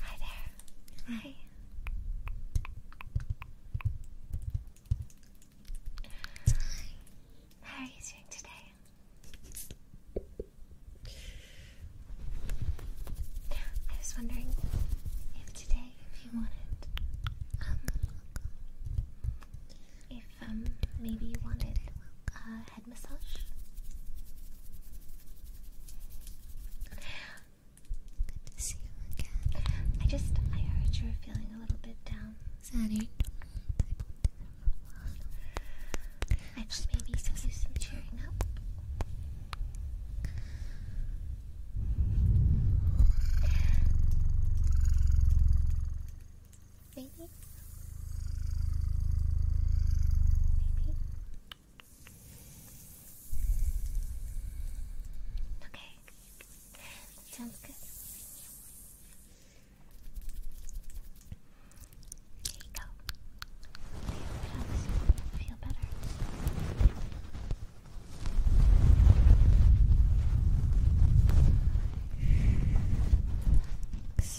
Hi there. Hi. How are you doing today? I was wondering if today, if you wanted, um, if um, maybe you wanted a head massage. Good to see you again. I just I heard you were feeling a little bit down. Sorry. I thought maybe you some cheering up. Maybe. Maybe. Okay. sounds good. There go. feel better. Relax.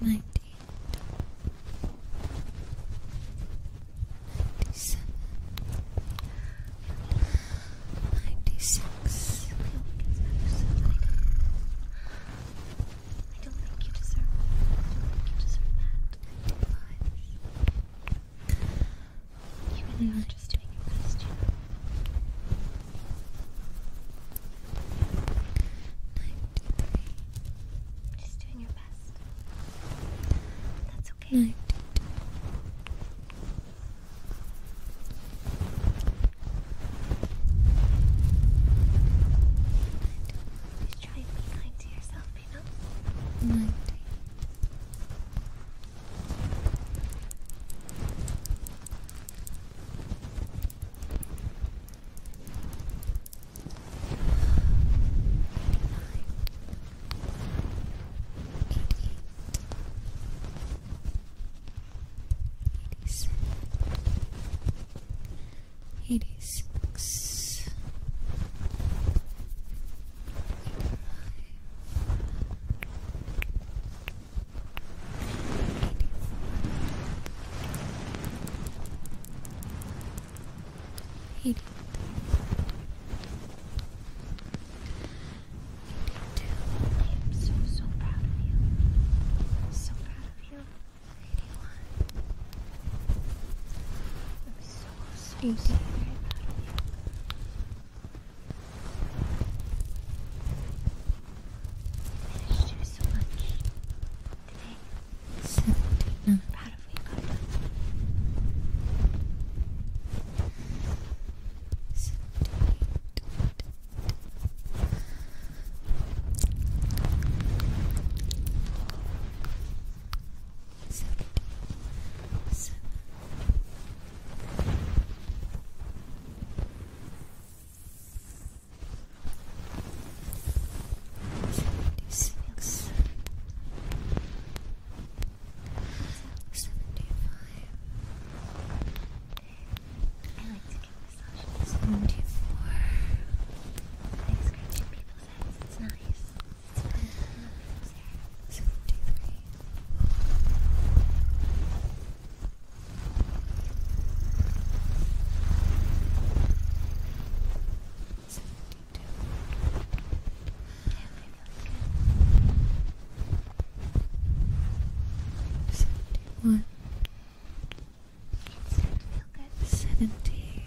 ninety eight, ninety seven, ninety six. I don't think you deserve that. you really are just doing your best, 93. Just doing your best. That's okay. 92. Just try and be kind to yourself, you know? 90. Ninety-one. 86 85 82 I am so, so proud of you. So proud of you. 81 I'm so, so, so very proud of you managed to do so much today. Seventy-nine. I'm proud of what you got done. Seventy-seven. Seventy-eight. 76 75 I like to get massages 74 Nice scratching people's heads, it's nice It's Seventy-one. It's gonna feel good. Seventy.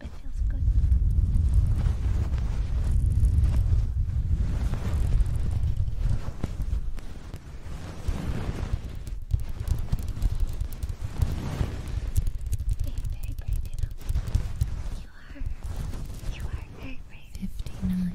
It feels good. You are. You are very brave. Fifty-nine.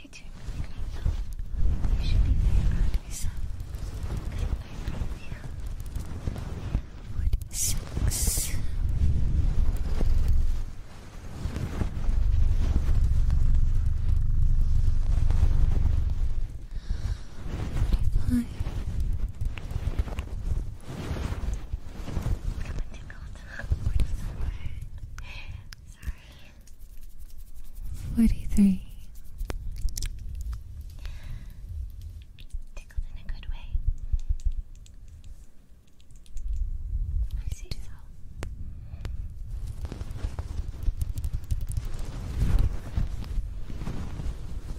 Hey, Jack, you should be very proud of yourself. Good night from here. Wood six. Hi. I'm tickled. i Sorry. Forty-three. Tickled in a good way. I see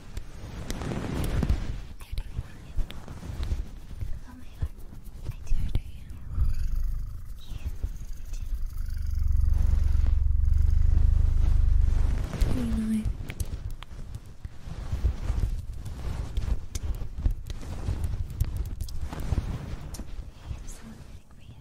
I do Oh my heart. I do adore you. Yeah, I do. You know I have something for you.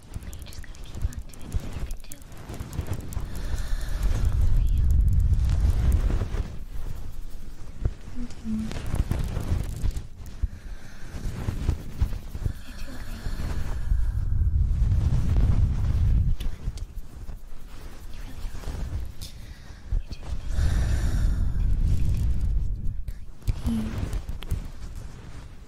But you just gotta keep on doing what you can do. you. Mm -hmm. You're doing great. You really are. You're doing this. you can do this.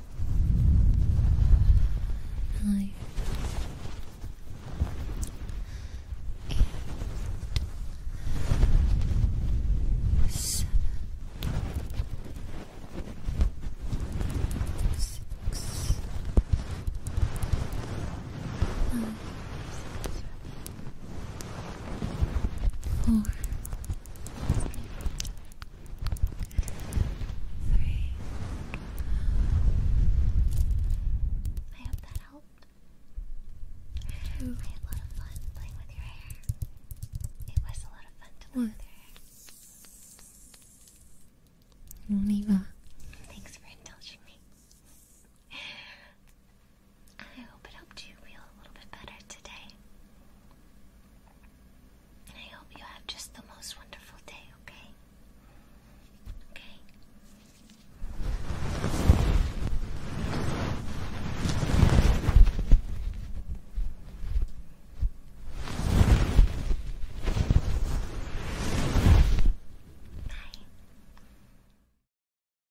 higher and seven six five four I hope that helped. I had a lot of fun playing with your hair. It was a lot of fun to play with your hair. Neva. Thanks for indulging me. I hope it helped you feel a little bit better today. I hope you have just the most wonderful day, okay? Okay. Bye.